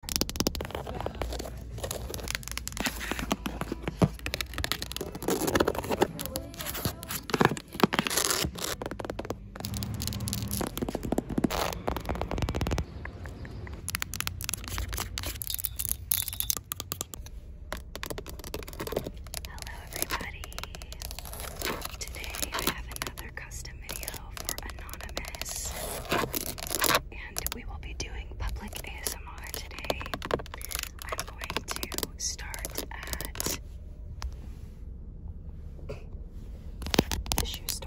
Hello, everybody. Today I have another custom video for Anonymous and we will be doing public ASMR today. I'm going to start at the shoe store.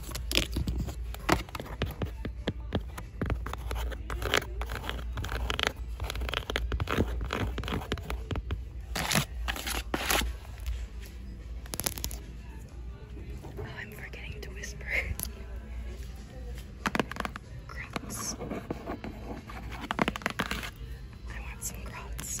Oh, I'm forgetting to whisper. Crocs. I want some crocs.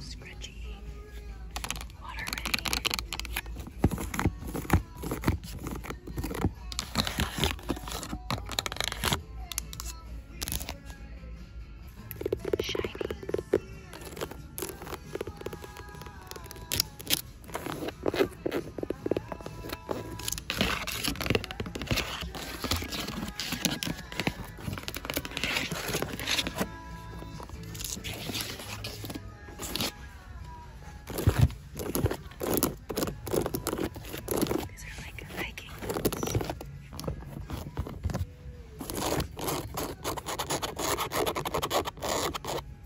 Scratchy water Shiny. These are like hiking boots.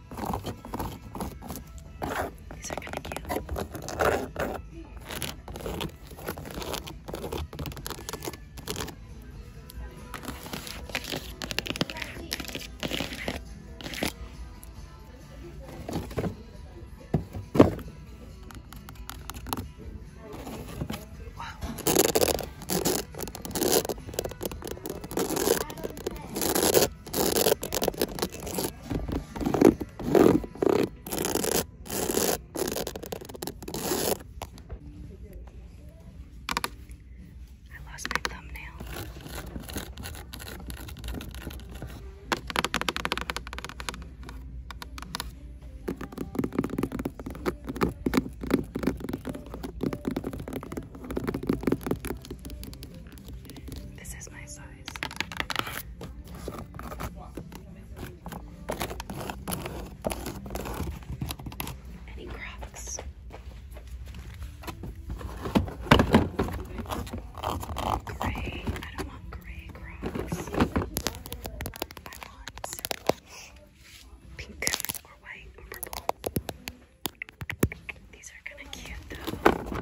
These are kind of cute. Wow. I lost my thumbnail. This is my size. Any Crocs? Gray. I don't want gray Crocs. I want pink or white or purple. These are kind of cute though.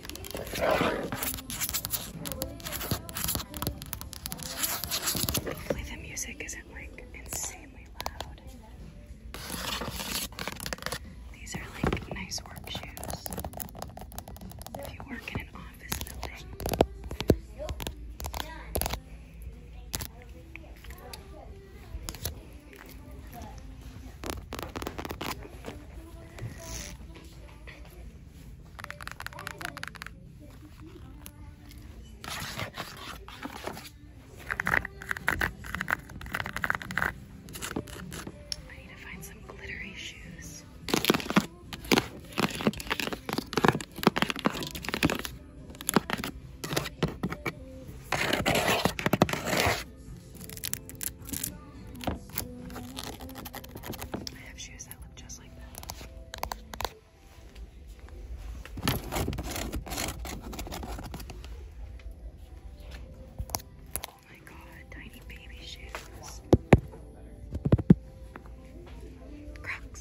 Hopefully the music isn't like insanely loud. These are like nice work shoes. If you work in an office building. I need to find some glittery shoes. I have shoes that look just just like that. Oh my god, tiny baby shoes. Crocs.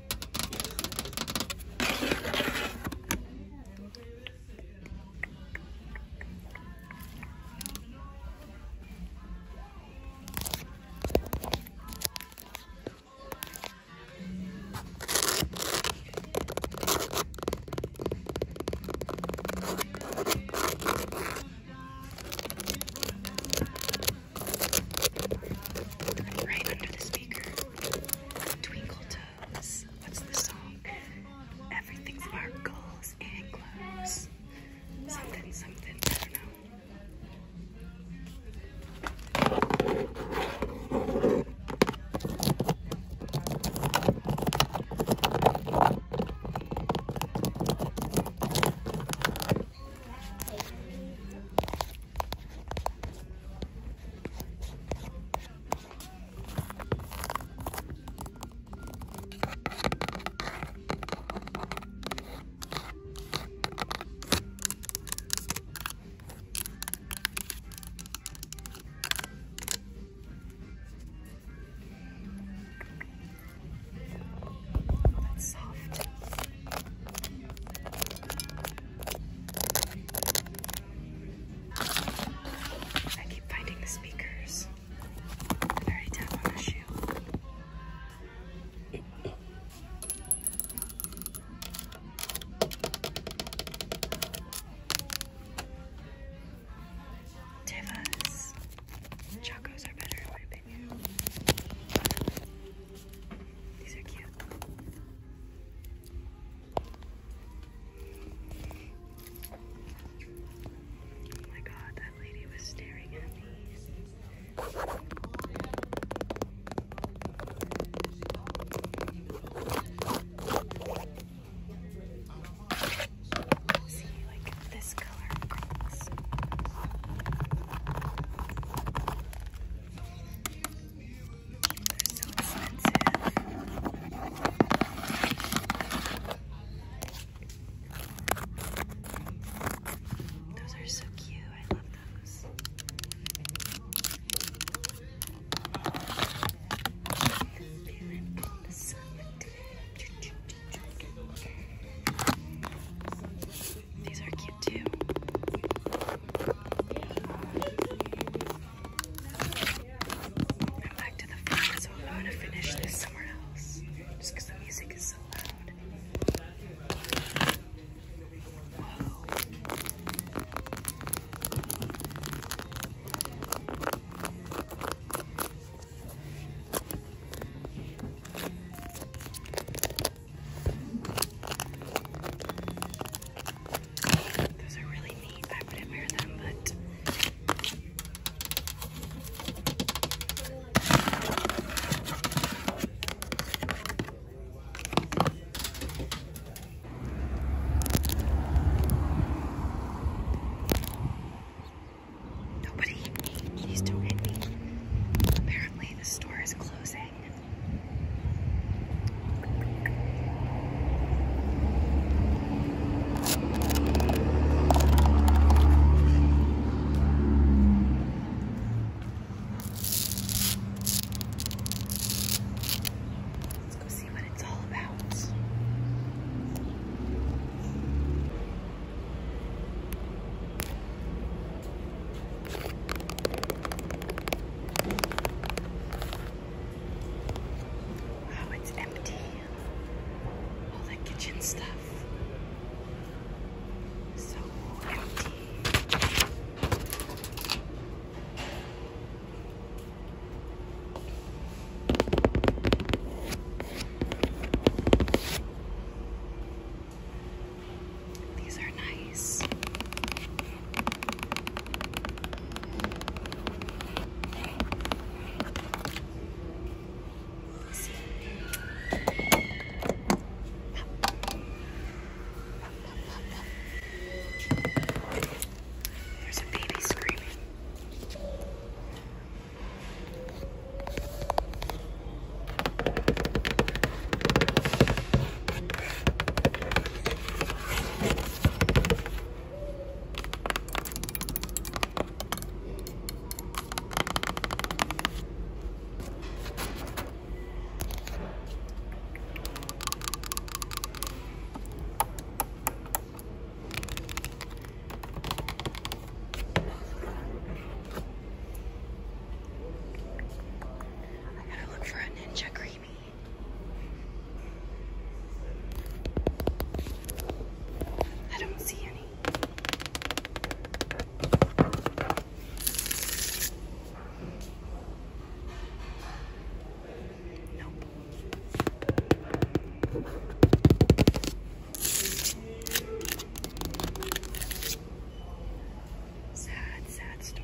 Right under the speaker. Twinkle Toes. What's the song? Everything sparkles and glows. Something, something, I don't know. That's soft. I keep finding the speakers. I already on the shoe. Tevas. Chacos are better in my opinion. These are cute. Oh my god, that lady was staring at me. See, like this color they're so expensive. Those are so cute. I love those. These are cute too. I'm back to the front, so I'm going to finish this somewhere else. Just because the music is so loud. Whoa. I those are really neat. I wouldn't wear them, but. Nobody, please don't hit me. Apparently, the store is closing. Let's go see what it's all about. Wow, oh, it's empty. All that kitchen stuff. So empty. These are nice. There's a baby screaming. I gotta look for a ninja green. I don't see any. Nope. Sad, sad store.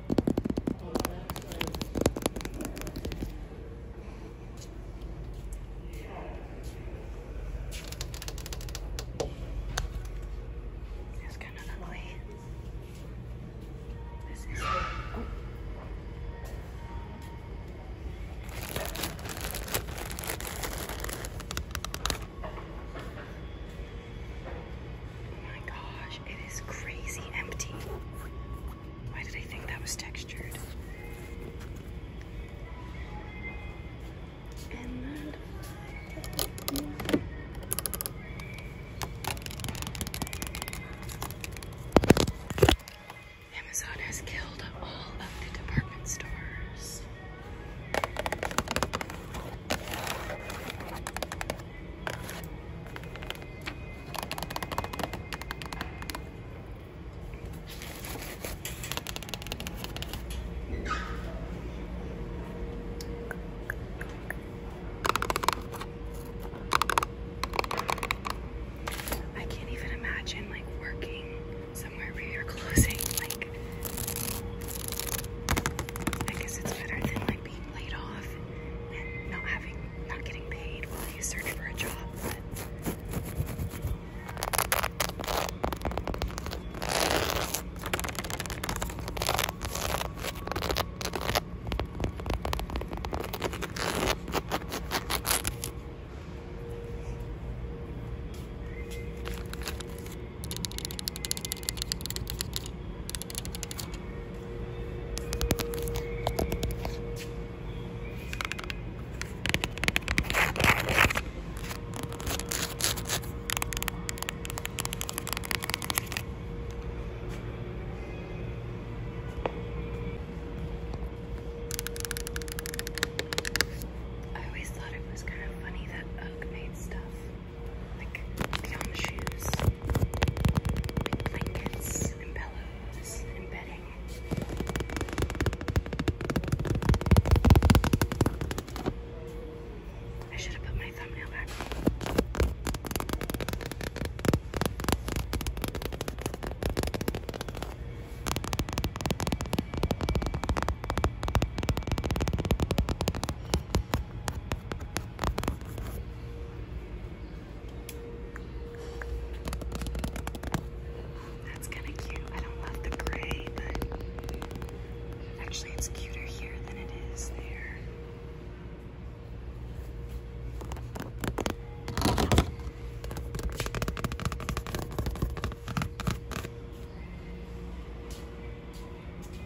This is kind of ugly. This is. Oh. Oh my gosh, it is crazy empty. Why did I think that was textured? Amazon has killed all of the department stores. I can't even imagine like working somewhere where you're closing. Like, I guess it's better than like being laid off and not having, not getting paid while you search for a job. But I always thought it was kind of funny that Ugg made stuff like beyond the shoes, blankets pillows bedding. I should have put my thumbnail back. That's kind of cute. I don't love the gray, but actually it's cuter here than it is there.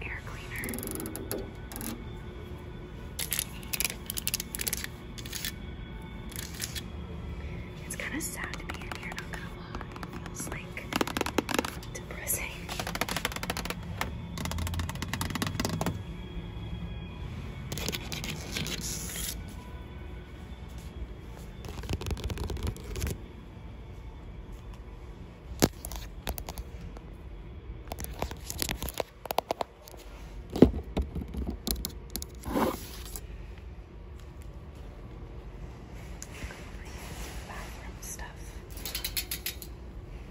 Air cleaner. It's kind of sad to be in here, not gonna lie. feels like Pressing. Bathroom stuff.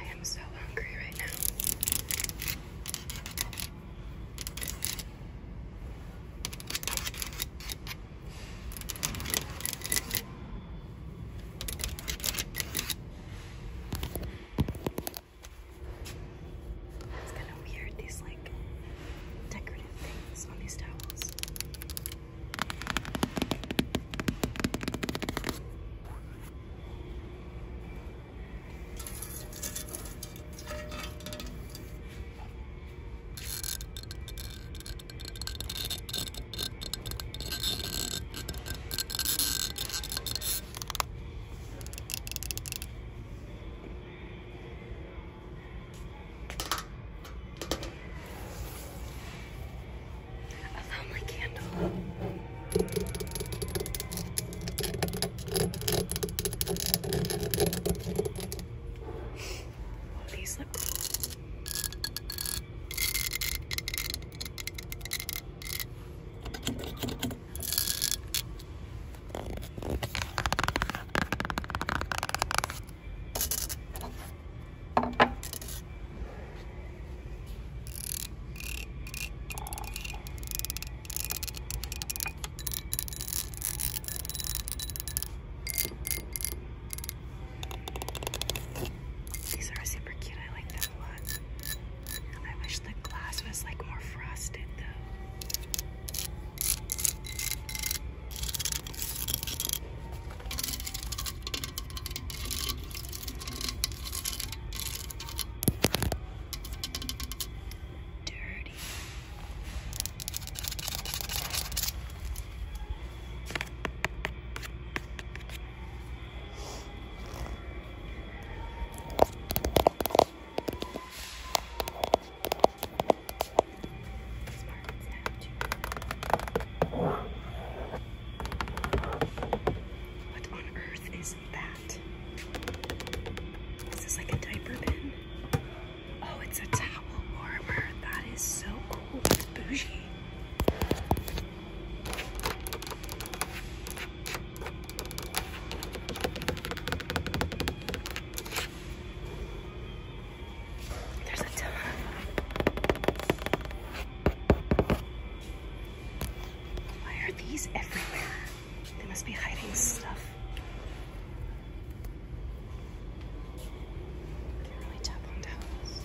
I am so hungry right now. It's kind of weird, these like decorative things on these towels. I found my candle. These look cool. These are super cute. I like them. I wish the glass was like more frosted though. Dirty. What on earth is that? this is like a diaper bin? Oh, it's a towel warmer. That is so cool. It's bougie. There's a ton. Why are these everywhere? They must be hiding stuff. Can't really tap on towels.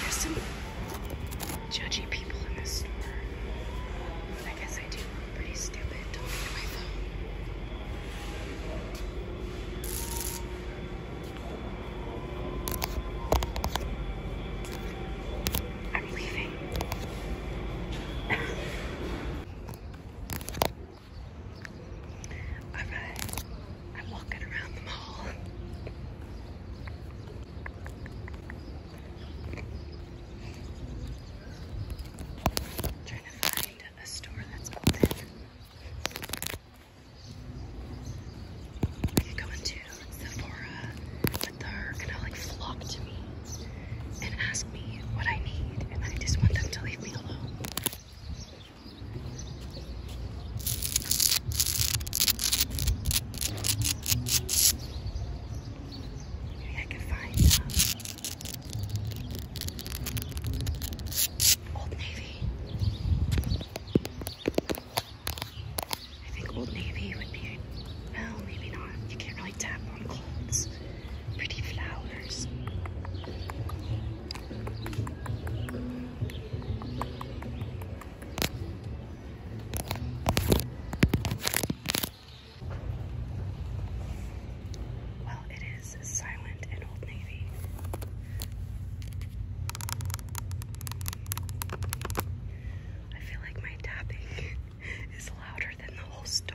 There's some judgy people in this store. I guess I do pretty stupid talking to my phone. I'm leaving. Alright, I'm walking around the mall. I'm trying to find a store that's open. I could Sephora, but they're gonna like flock to me and ask me what I need, and I just want them to leave me alone. Maybe I can find some. Old Navy. I think Old Navy would be, well, maybe not. You can't really tap on clothes. Pretty flowers. Well, it is silent in Old Navy. I feel like my tapping is louder than the whole store.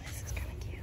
This is kind of cute.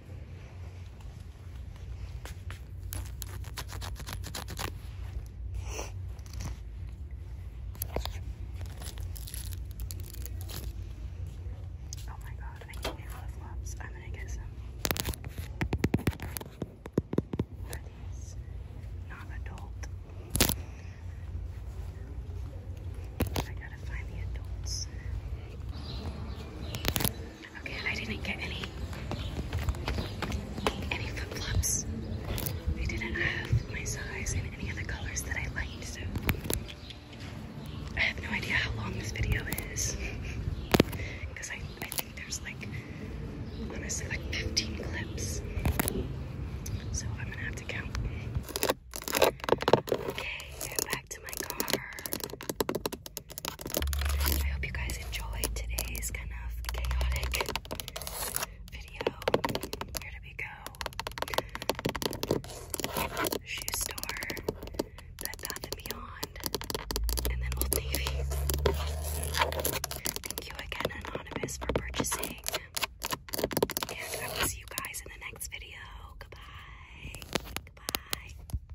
Oh my god, I can't flip flops. I'm gonna get some. these not adult? I gotta find the adults. Okay, I didn't get any any flip-flops. I didn't have my size in any of colors that I liked, so I have no idea how long this video is. Because I, I think there's like honestly like 15 clips. So I'm gonna have to count. Okay, get back to my car. I hope you guys enjoyed today's kind of chaotic video. Where we go? Shoe store, Bed Bath and Beyond, and then Old Navy. Thank you again, Anonymous, for purchasing. And I will see you guys in the next video. Goodbye. Goodbye.